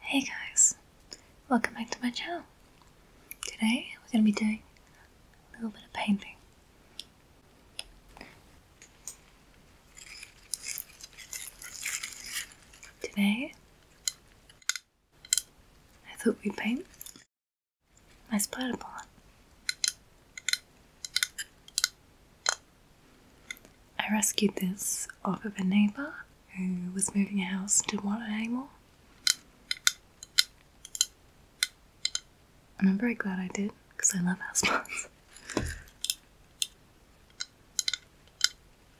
Hey guys, welcome back to my channel. Today we're going to be doing a little bit of painting. Today I thought we'd paint my splatter pot. I rescued this off of a neighbour who was moving a house didn't want it anymore. And I'm very glad I did because I love house I'm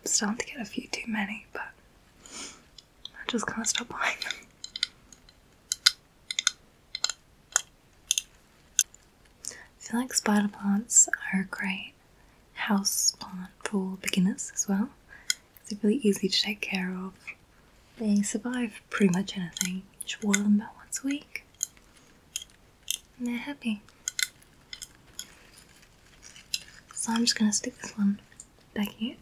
starting to get a few too many, but I just can't stop buying them. I feel like spider plants are a great house plant for beginners as well. It's really easy to take care of. They survive pretty much anything. just water them about once a week. And they're happy. So I'm just going to stick this one back in.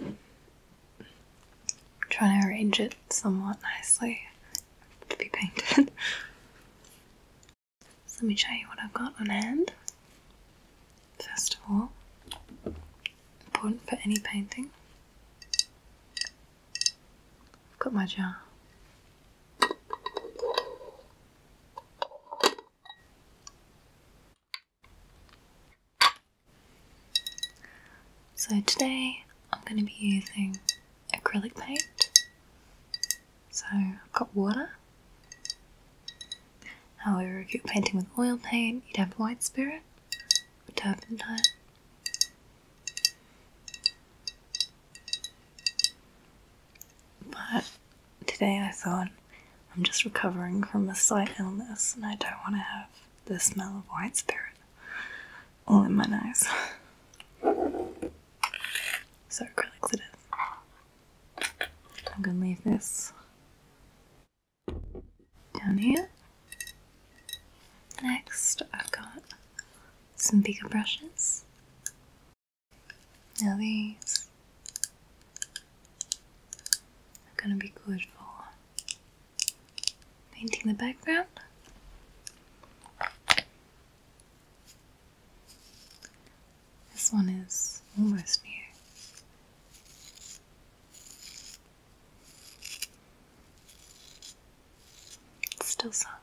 I'm trying to arrange it somewhat nicely to be painted. so let me show you what I've got on hand. First of all, important for any painting, I've got my jar. So today I'm going to be using acrylic paint. So I've got water. However, if you're painting with oil paint, you'd have white spirit or turpentine. But today I thought I'm just recovering from a slight illness and I don't want to have the smell of white spirit all in my nose. So acrylics it is. I'm gonna leave this down here. Next, I've got some bigger brushes. Now these are going to be good for painting the background. This one is almost new. It's still soft.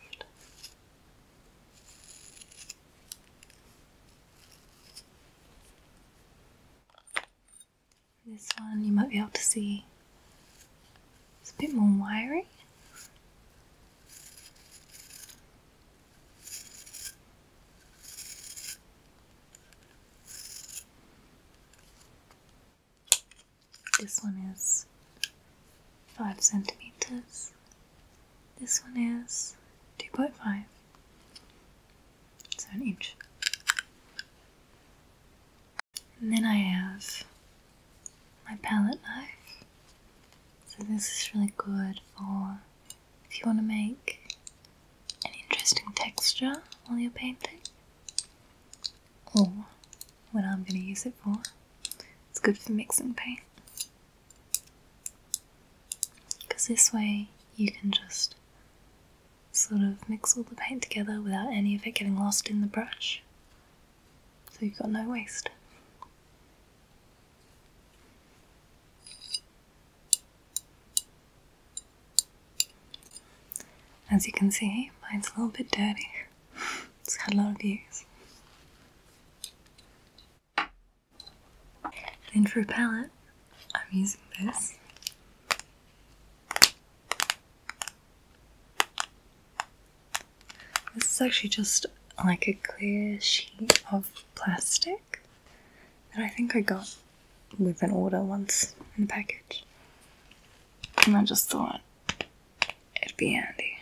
This one you might be able to see it's a bit more wiry. This one is five centimeters. This one is two point five so an inch. then I have my palette knife. So this is really good for if you want to make an interesting texture while you're painting. Or what I'm going to use it for. It's good for mixing paint. Because this way you can just sort of mix all the paint together without any of it getting lost in the brush. So you've got no waste. As you can see, mine's a little bit dirty. it's had a lot of use. Then for a palette, I'm using this. This is actually just like a clear sheet of plastic that I think I got with an order once in a package. And I just thought it'd be handy.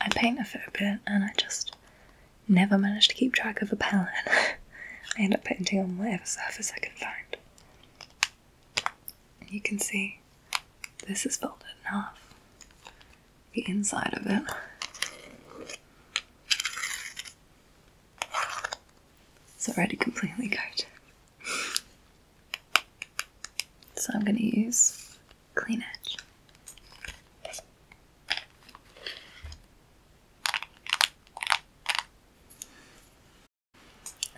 I paint a fair bit and I just never manage to keep track of a palette. I end up painting on whatever surface I can find. You can see this is folded in half, the inside of it. It's already completely coated. So I'm going to use clean edge.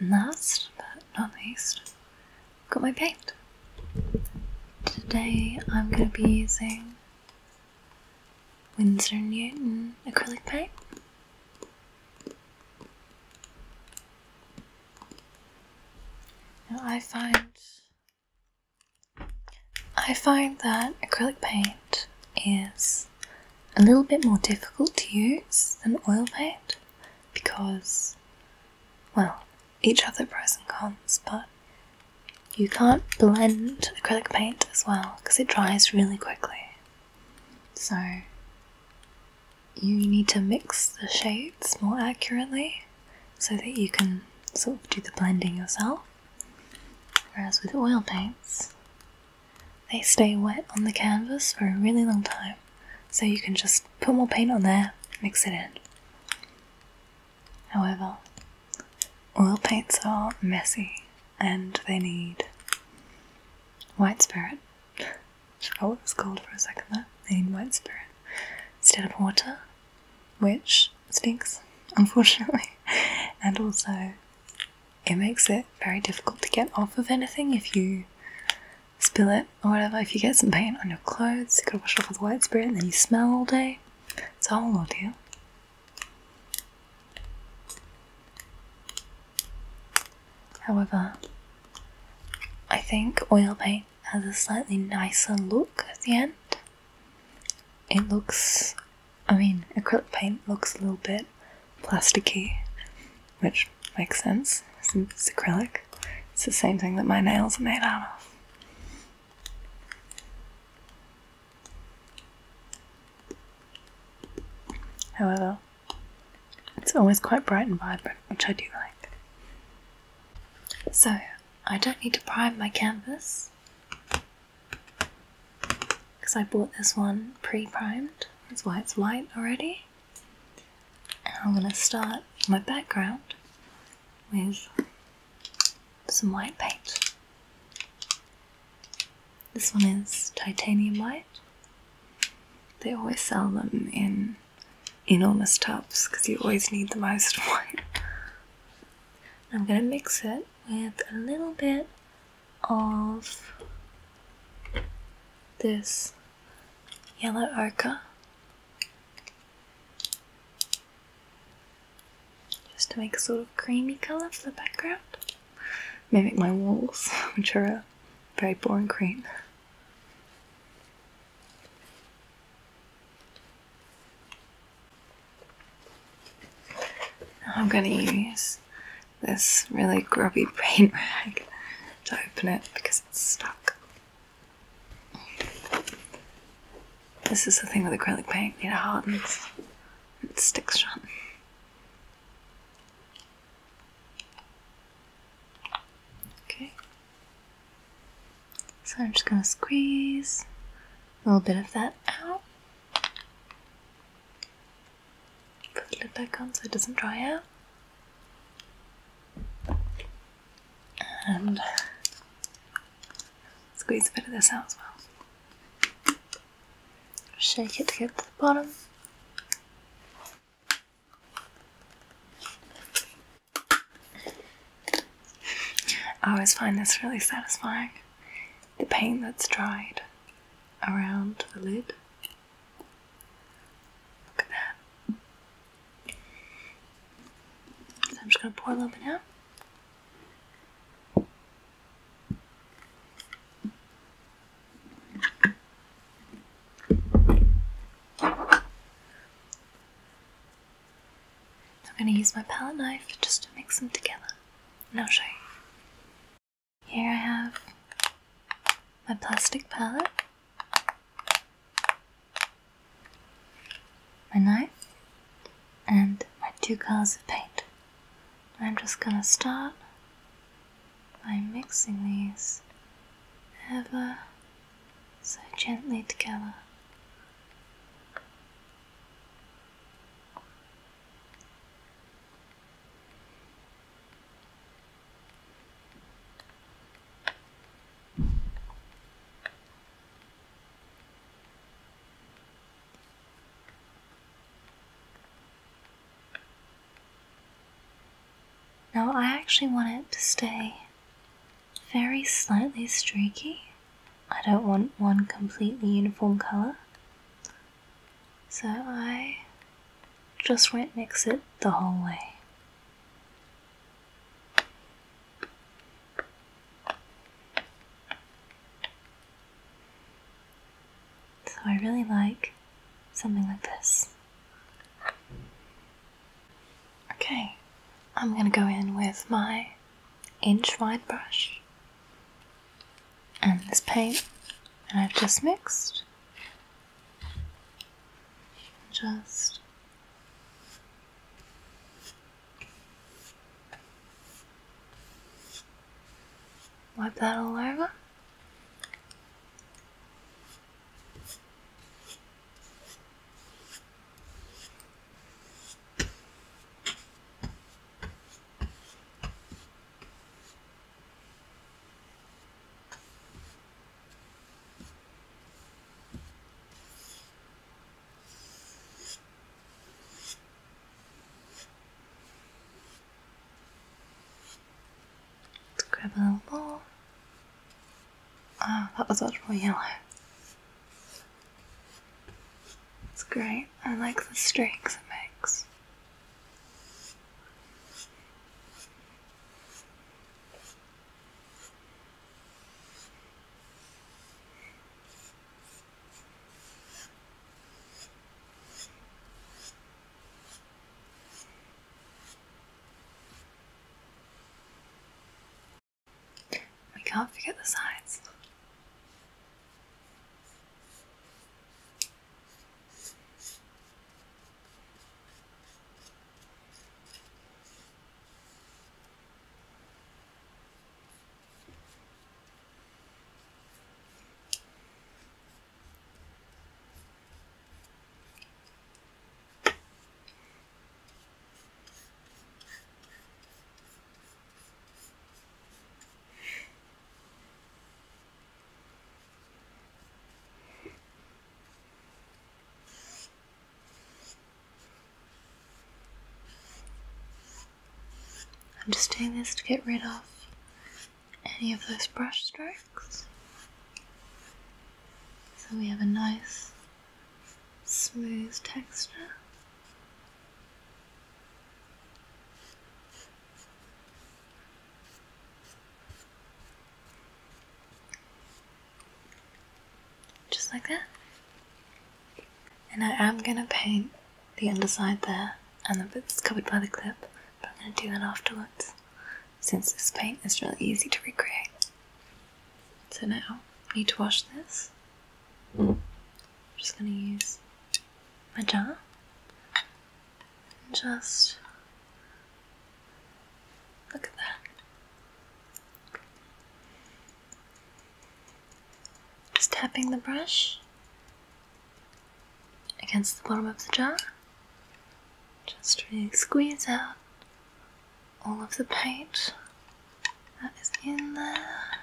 And last but not least, got my paint. Today I'm going to be using Windsor Newton acrylic paint. Now I find I find that acrylic paint is a little bit more difficult to use than oil paint because, well, each their pros and cons, but you can't blend acrylic paint as well because it dries really quickly. So you need to mix the shades more accurately so that you can sort of do the blending yourself. Whereas with oil paints, they stay wet on the canvas for a really long time, so you can just put more paint on there, mix it in. However, oil paints are messy and they need white spirit. Oh, what it was called for a second there. They need white spirit instead of water which stinks, unfortunately. And also, it makes it very difficult to get off of anything if you spill it or whatever. If you get some paint on your clothes, you gotta wash off with white spirit and then you smell all day. It's a whole ordeal. However, I think oil paint has a slightly nicer look at the end it looks, I mean, acrylic paint looks a little bit plasticky, which makes sense since it's acrylic. It's the same thing that my nails are made out of. However, it's always quite bright and vibrant, which I do like. So, I don't need to prime my canvas because I bought this one pre-primed. That's why it's white already. I'm going to start my background with some white paint. This one is titanium white. They always sell them in enormous tubs because you always need the most white. I'm gonna mix it with a little bit of this yellow ochre just to make a sort of creamy colour for the background mimic my walls which are very boring cream. I'm going to use this really grubby paint rag to open it because it's stuck. This is the thing with acrylic paint, it hardens, it sticks shut. Okay. So I'm just going to squeeze a little bit of that out. Put the lid back on so it doesn't dry out. And squeeze a bit of this out as well. Shake it to get to the bottom. I always find this really satisfying. The paint that's dried around the lid. Look at that. So I'm just going to pour a little bit out. I'm going to use my palette knife just to mix them together and i show you. Here I have my plastic palette, my knife, and my two colours of paint. I'm just going to start by mixing these ever so gently together. Now, I actually want it to stay very slightly streaky. I don't want one completely uniform color. So I just won't mix it the whole way. So I really like something like this. Okay, I'm gonna go in with my inch wide brush and this paint that I've just mixed. Just wipe that all over grab a little ball. Ah, oh, that was much more yellow. It's great. I like the streaks it makes. We can't forget the sides. I'm just doing this to get rid of any of those brush strokes so we have a nice smooth texture just like that. And I am going to paint the underside there and the bits covered by the clip, but I'm going to do that afterwards since this paint is really easy to recreate. So now, I need to wash this. Hmm. I'm just going to use my jar and just look at that. Just tapping the brush against the bottom of the jar. Just really squeeze out all of the paint that is in there.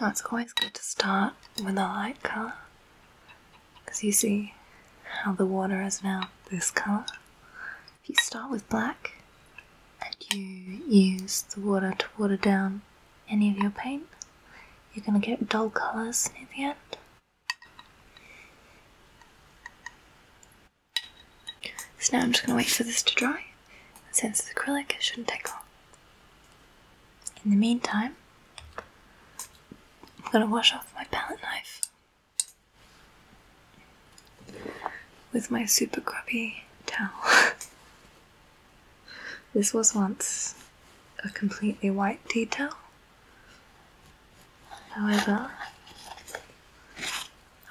Now it's always good to start with a light colour because you see how the water is now this colour. If you start with black and you use the water to water down any of your paint, you're going to get dull colours near the end. So now I'm just going to wait for this to dry. since it's acrylic, it shouldn't take long. In the meantime, I'm going to wash off my palette knife with my super grubby towel. this was once a completely white detail, However,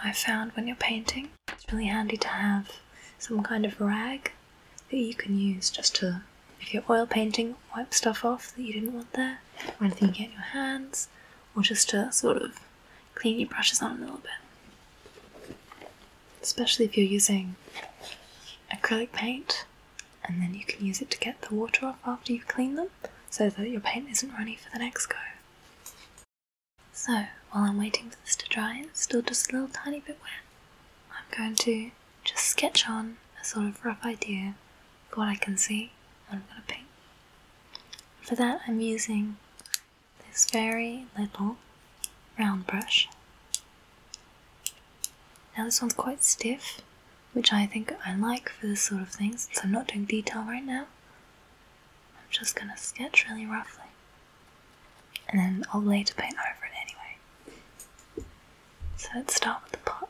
I found when you're painting, it's really handy to have some kind of rag that you can use just to, if you're oil painting, wipe stuff off that you didn't want there, or anything you get in your hands, or just to sort of clean your brushes on a little bit. Especially if you're using acrylic paint, and then you can use it to get the water off after you've cleaned them so that your paint isn't runny for the next go. So, while I'm waiting for this to dry, it's still just a little tiny bit wet, I'm going to just sketch on a sort of rough idea for what I can see and I'm going to paint. For that, I'm using this very little round brush. Now, this one's quite stiff, which I think I like for this sort of thing So I'm not doing detail right now. I'm just gonna sketch really roughly and then I'll later paint over it anyway. So let's start with the pot.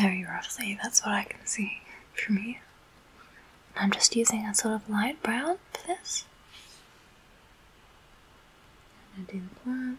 Very roughly, that's what I can see from here. I'm just using a sort of light brown for this. And I do the plant.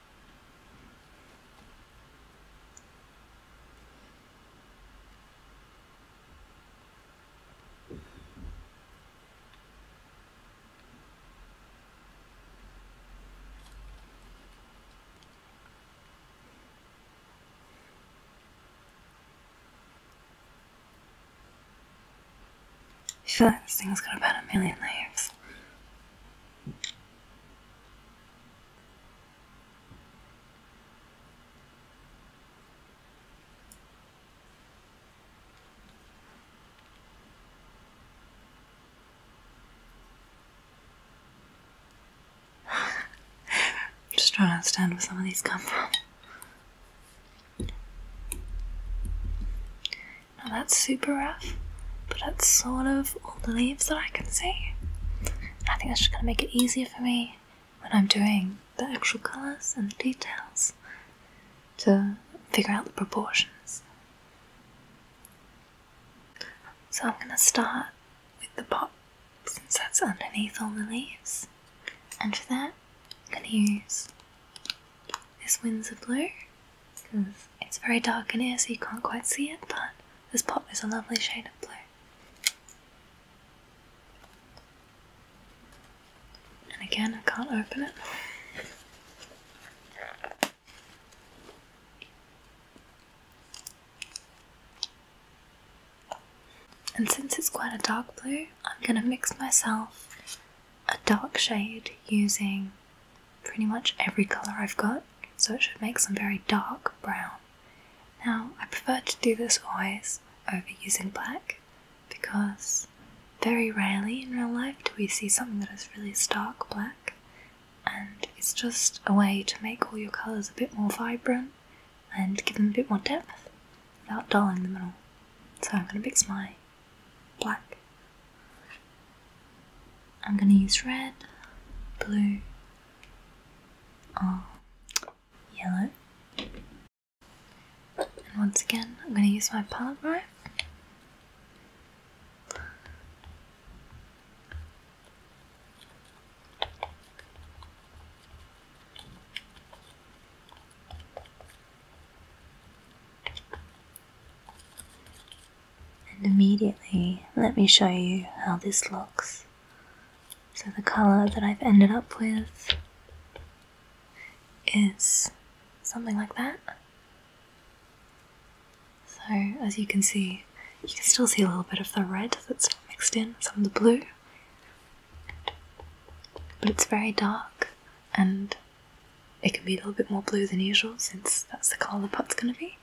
I feel like this thing's got about a million layers. I'm just trying to understand where some of these come from. Now that's super rough but that's sort of all the leaves that I can see. I think that's just going to make it easier for me when I'm doing the actual colours and the details to figure out the proportions. So I'm going to start with the pot since that's underneath all the leaves. And for that, I'm going to use this Windsor Blue because it's very dark in here so you can't quite see it, but this pot is a lovely shade of blue. And again, I can't open it. And since it's quite a dark blue, I'm going to mix myself a dark shade using pretty much every colour I've got, so it should make some very dark brown. Now, I prefer to do this always over using black because very rarely in real life do we see something that is really stark black, and it's just a way to make all your colours a bit more vibrant and give them a bit more depth without dulling them at all. So I'm going to mix my black I'm gonna use red, blue, or oh, yellow. And once again, I'm gonna use my palette knife. And immediately, let me show you how this looks. So the colour that I've ended up with is something like that. So as you can see, you can still see a little bit of the red that's mixed in, some of the blue. But it's very dark and it can be a little bit more blue than usual since that's the colour the pot's going to be.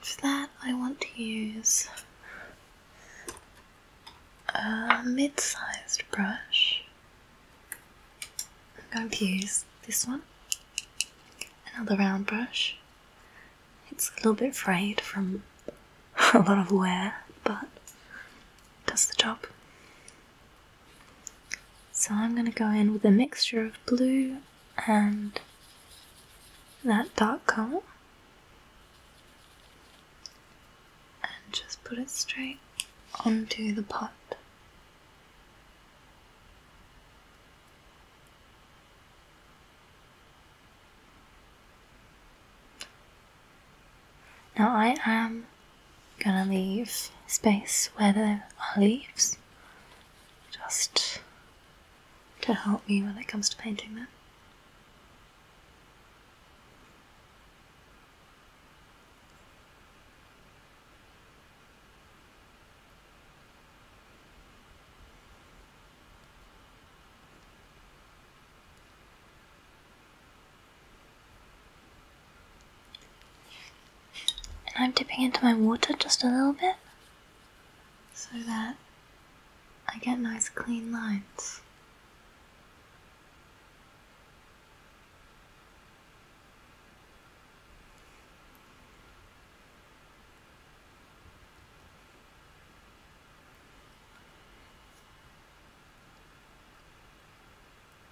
For that, I want to use a mid sized brush. I'm going to use this one, another round brush. It's a little bit frayed from a lot of wear, but does the job. So I'm going to go in with a mixture of blue and that dark colour and just put it straight onto the pot. Now I am gonna leave space where there are leaves just to help me when it comes to painting them. And I'm dipping into my water just a little bit so that I get nice clean lines.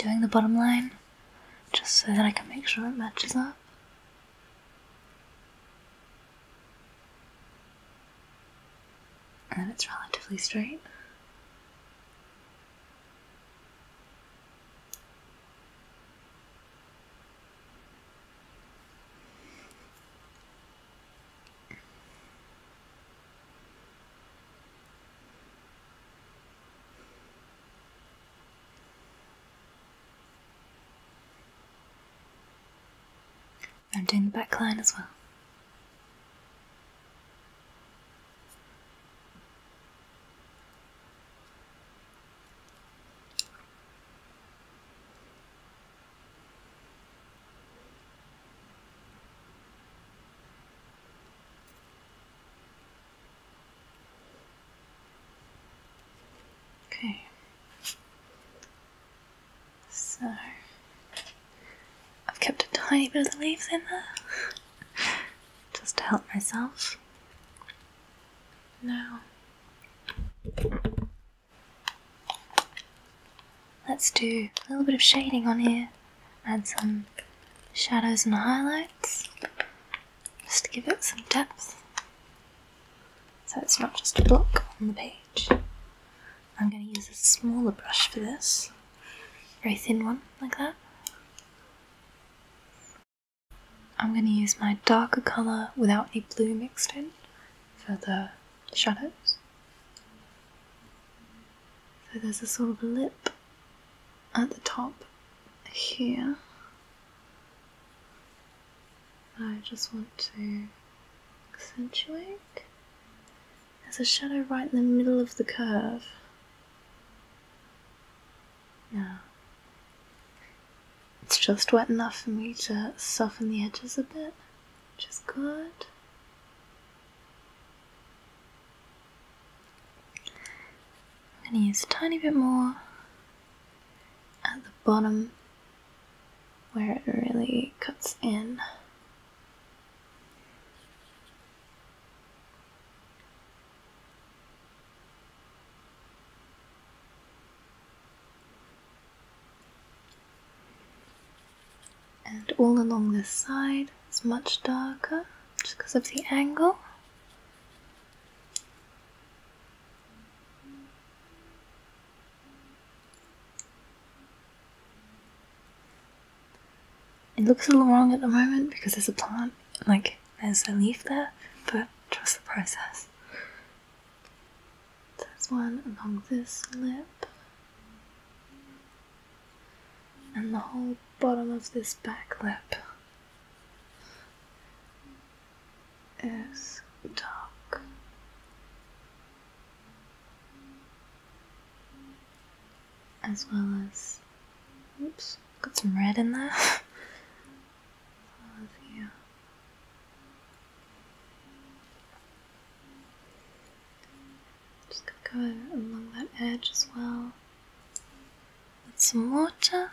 I'm doing the bottom line just so that I can make sure it matches up. And it's relatively straight. I'm doing the back line as well. Okay. So I've kept a tiny bit of the leaves in there just to help myself. Now let's do a little bit of shading on here, add some shadows and highlights just to give it some depth so it's not just a block on the page. I'm going to use a smaller brush for this, very thin one like that. I'm going to use my darker colour without any blue mixed in for the shadows. So there's a sort of lip at the top here. I just want to accentuate. There's a shadow right in the middle of the curve. Now, it's just wet enough for me to soften the edges a bit, which is good. I'm going to use a tiny bit more at the bottom where it really cuts in. And all along this side it's much darker just because of the angle. It looks a little wrong at the moment because there's a plant, like there's a leaf there, but trust the process. There's one along this lip, and the whole bottom of this back lip is dark. As well as, oops, got some red in there. as well as here. Just gonna go along that edge as well. Add some water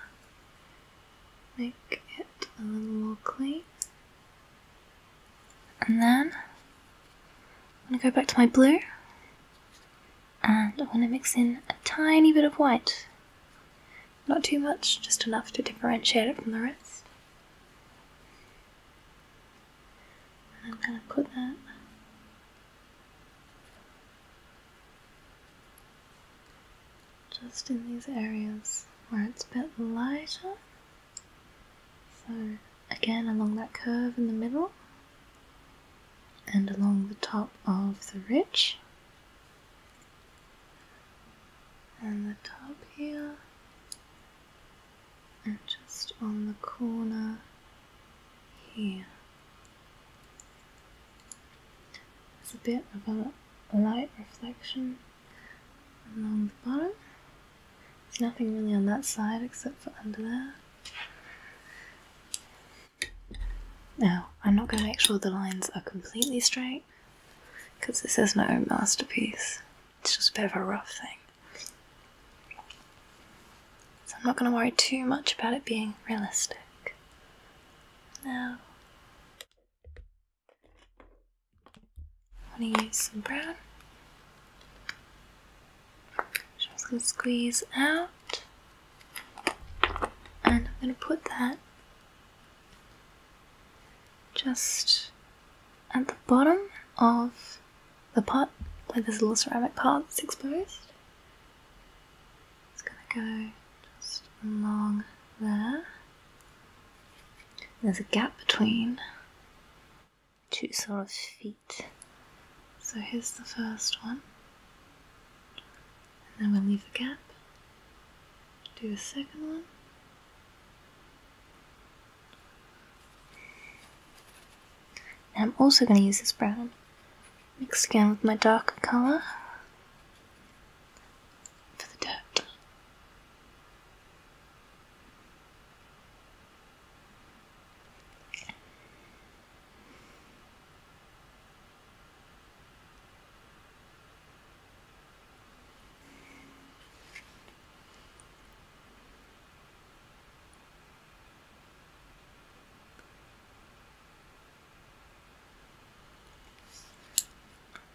make it a little more clean. And then I'm going to go back to my blue and I am going to mix in a tiny bit of white. Not too much, just enough to differentiate it from the rest. I'm going to put that just in these areas where it's a bit lighter. So, again, along that curve in the middle and along the top of the ridge, and the top here, and just on the corner here. There's a bit of a light reflection along the bottom. There's nothing really on that side except for under there. Now, I'm not going to make sure the lines are completely straight because this is my own masterpiece. It's just a bit of a rough thing. So I'm not going to worry too much about it being realistic. Now, I'm gonna use some brown. Just gonna squeeze out, and I'm gonna put that just at the bottom of the pot, like this little ceramic part that's exposed. It's gonna go just along there. There's a gap between two sort of feet. So here's the first one. And then we'll leave the gap. Do a second one. I'm also going to use this brown mix again with my darker colour for the dirt.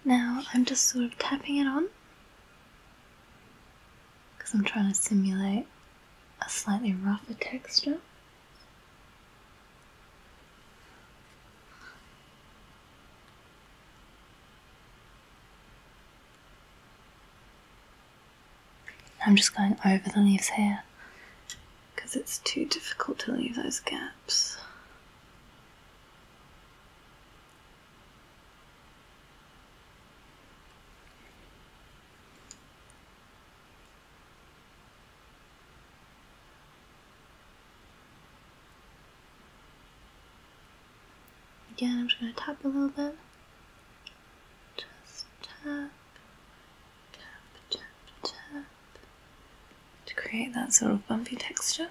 Now I'm just sort of tapping it on because I'm trying to simulate a slightly rougher texture. I'm just going over the leaves here because it's too difficult to leave those gaps. Again, I'm just going to tap a little bit. Just tap, tap, tap, tap to create that sort of bumpy texture.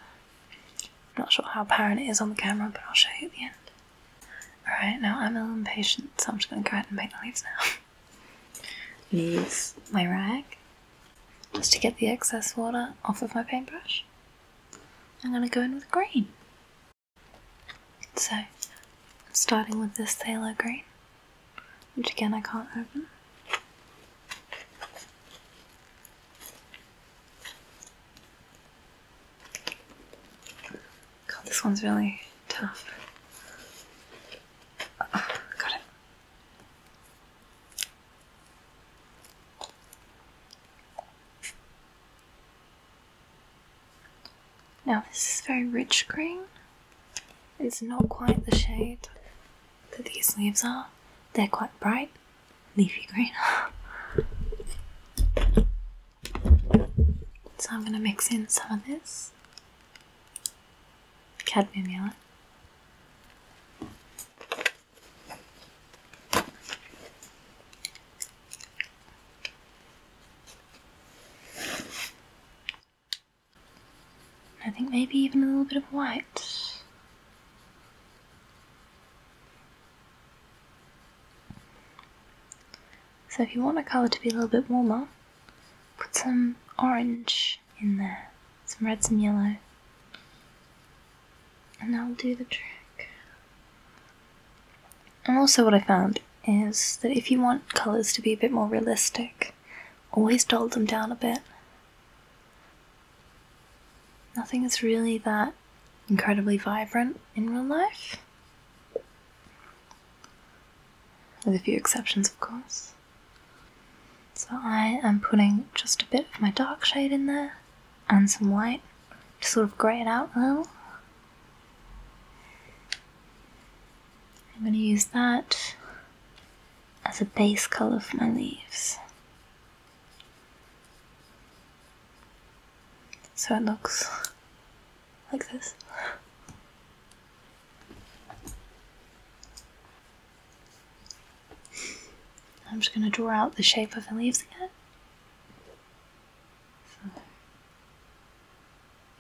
I'm not sure how apparent it is on the camera, but I'll show you at the end. Alright, now I'm a little impatient, so I'm just going to go ahead and paint the leaves now. Use my rag just to get the excess water off of my paintbrush. I'm going to go in with green. So, starting with this Thaler green, which again I can't open. God, this one's really tough. Ah, got it. Now this is very rich green. It's not quite the shade that these leaves are. They're quite bright. Leafy green. so I'm going to mix in some of this cadmium yellow. I think maybe even a little bit of white. So if you want a colour to be a little bit warmer, put some orange in there, some red, some yellow, and that'll do the trick. And also, what I found is that if you want colours to be a bit more realistic, always dull them down a bit. Nothing is really that incredibly vibrant in real life. With a few exceptions, of course. So I am putting just a bit of my dark shade in there and some white to sort of grey it out a little. I'm going to use that as a base colour for my leaves. So it looks like this. I'm just going to draw out the shape of the leaves again. So,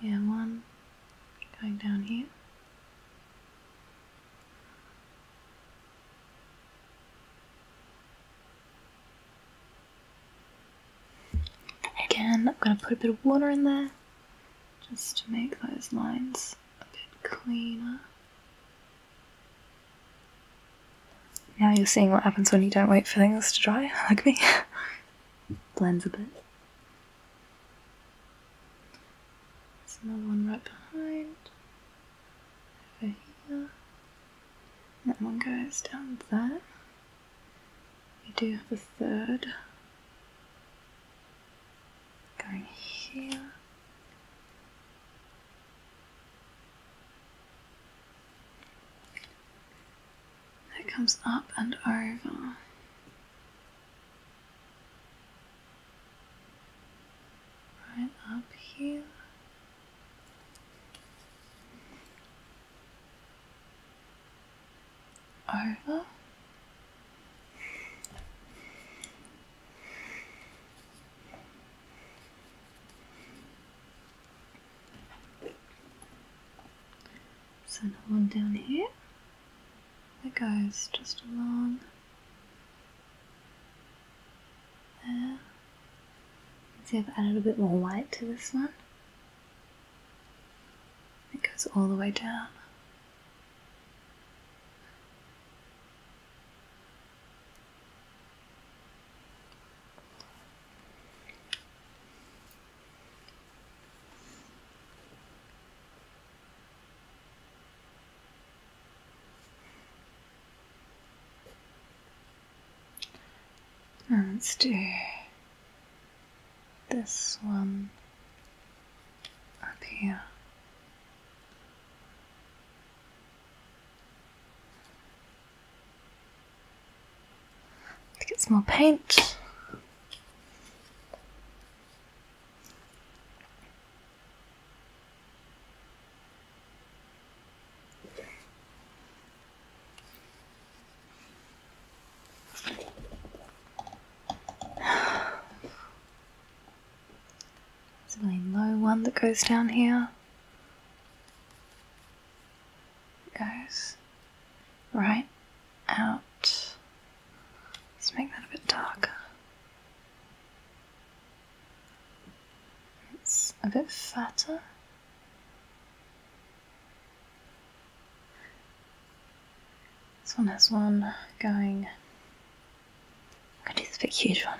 yeah, one going down here. Again, I'm going to put a bit of water in there just to make those lines a bit cleaner. Now you're seeing what happens when you don't wait for things to dry, like me. Blends a bit. There's another one right behind over here. And that one goes down there. We do have a third going here. That comes up and over right up here. Over. So another one down here that goes just along there. See, I've added a bit more white to this one. It goes all the way down let's do this one up here. get some more paint. It's a really low one that goes down here. It goes right out. Let's make that a bit darker. It's a bit fatter. This one has one going. I'm going to do this big huge one.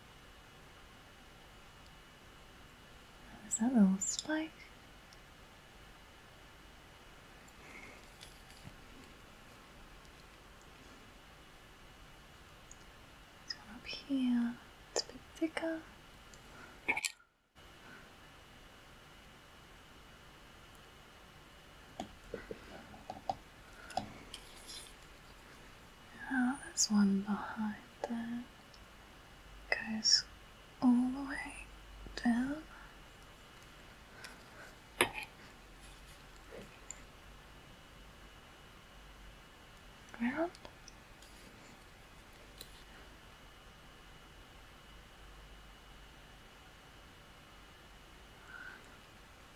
There's that little spike. This up here, it's a bit thicker. Yeah, there's one behind that. Goes all the way down. Ground?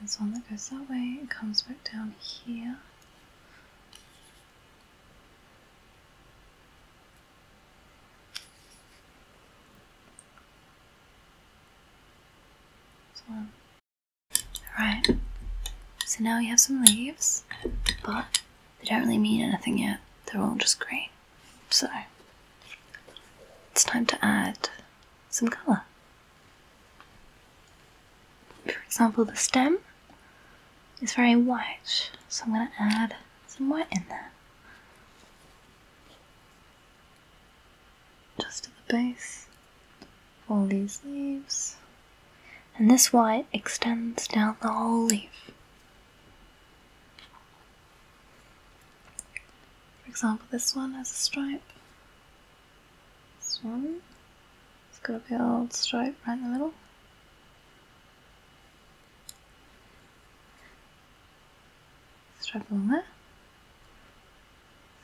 There's one that goes that way it comes back down here. Alright, so now we have some leaves, but they don't really mean anything yet. They're all just green. So, it's time to add some colour. For example, the stem is very white, so I'm going to add some white in there. Just at the base of all these leaves. And this white extends down the whole leaf. For example, this one has a stripe. This one. It's got a big old stripe right in the middle. Stripe along there.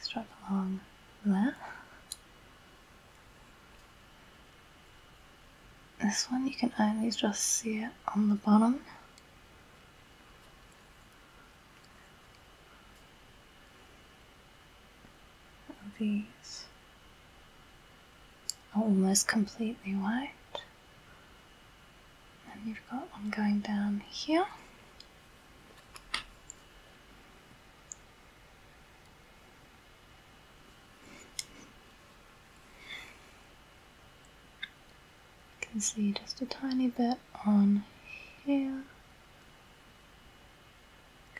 Stripe along there. This one you can only just see it on the bottom. These are oh, almost completely white. And you've got one going down here. You can see just a tiny bit on here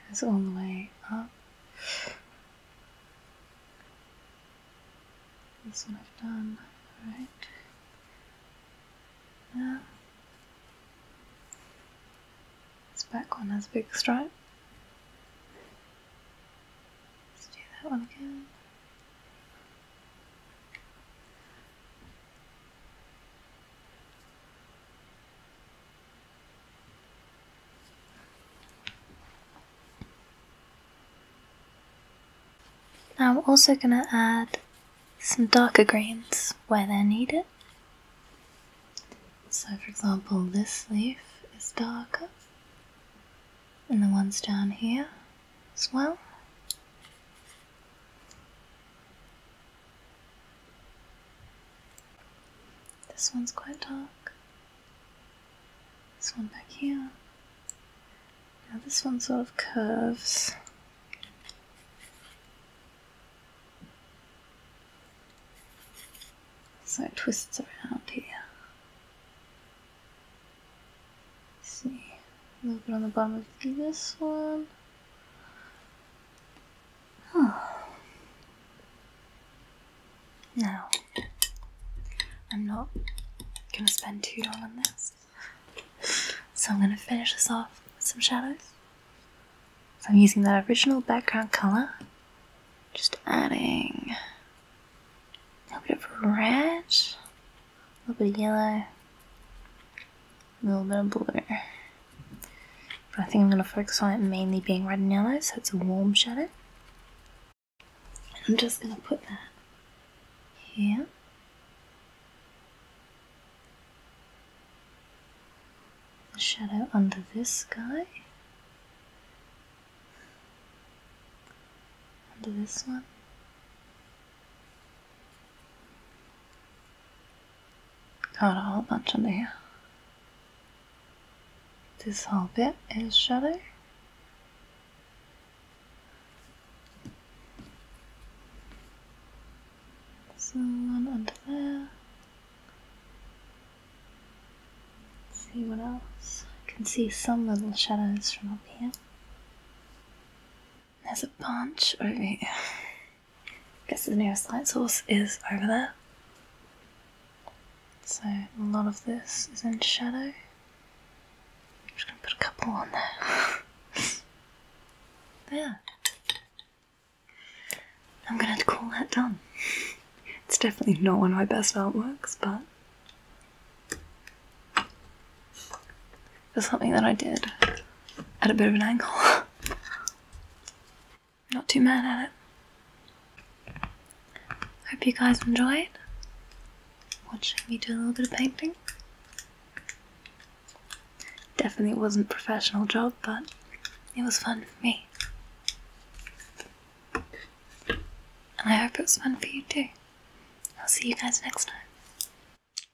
goes all the way up. This one I've done, alright. Now, this back one has a big stripe. Let's do that one again. Now I'm also going to add some darker greens where they're needed. So for example this leaf is darker and the ones down here as well. This one's quite dark. This one back here. Now this one sort of curves. So it twists around here. see, a little bit on the bottom of this one. Oh. I'm not gonna spend too long on this, so I'm gonna finish this off with some shadows. So I'm using that original background color, just adding a little bit of red, a little bit of yellow, a little bit of blue. But I think I'm going to focus on it mainly being red and yellow, so it's a warm shadow. And I'm just going to put that here. The shadow under this guy. Under this one. Got a whole bunch under here. This whole bit is shadow. So one under there. see what else. I can see some little shadows from up here. There's a bunch over here. Guess the nearest light source is over there. So a lot of this is in shadow. I'm just gonna put a couple on there. there. I'm gonna to call that done. It's definitely not one of my best artworks, but it's something that I did at a bit of an angle. I'm not too mad at it. Hope you guys enjoyed watching me do a little bit of painting. Definitely wasn't a professional job, but it was fun for me. And I hope it was fun for you too. I'll see you guys next time.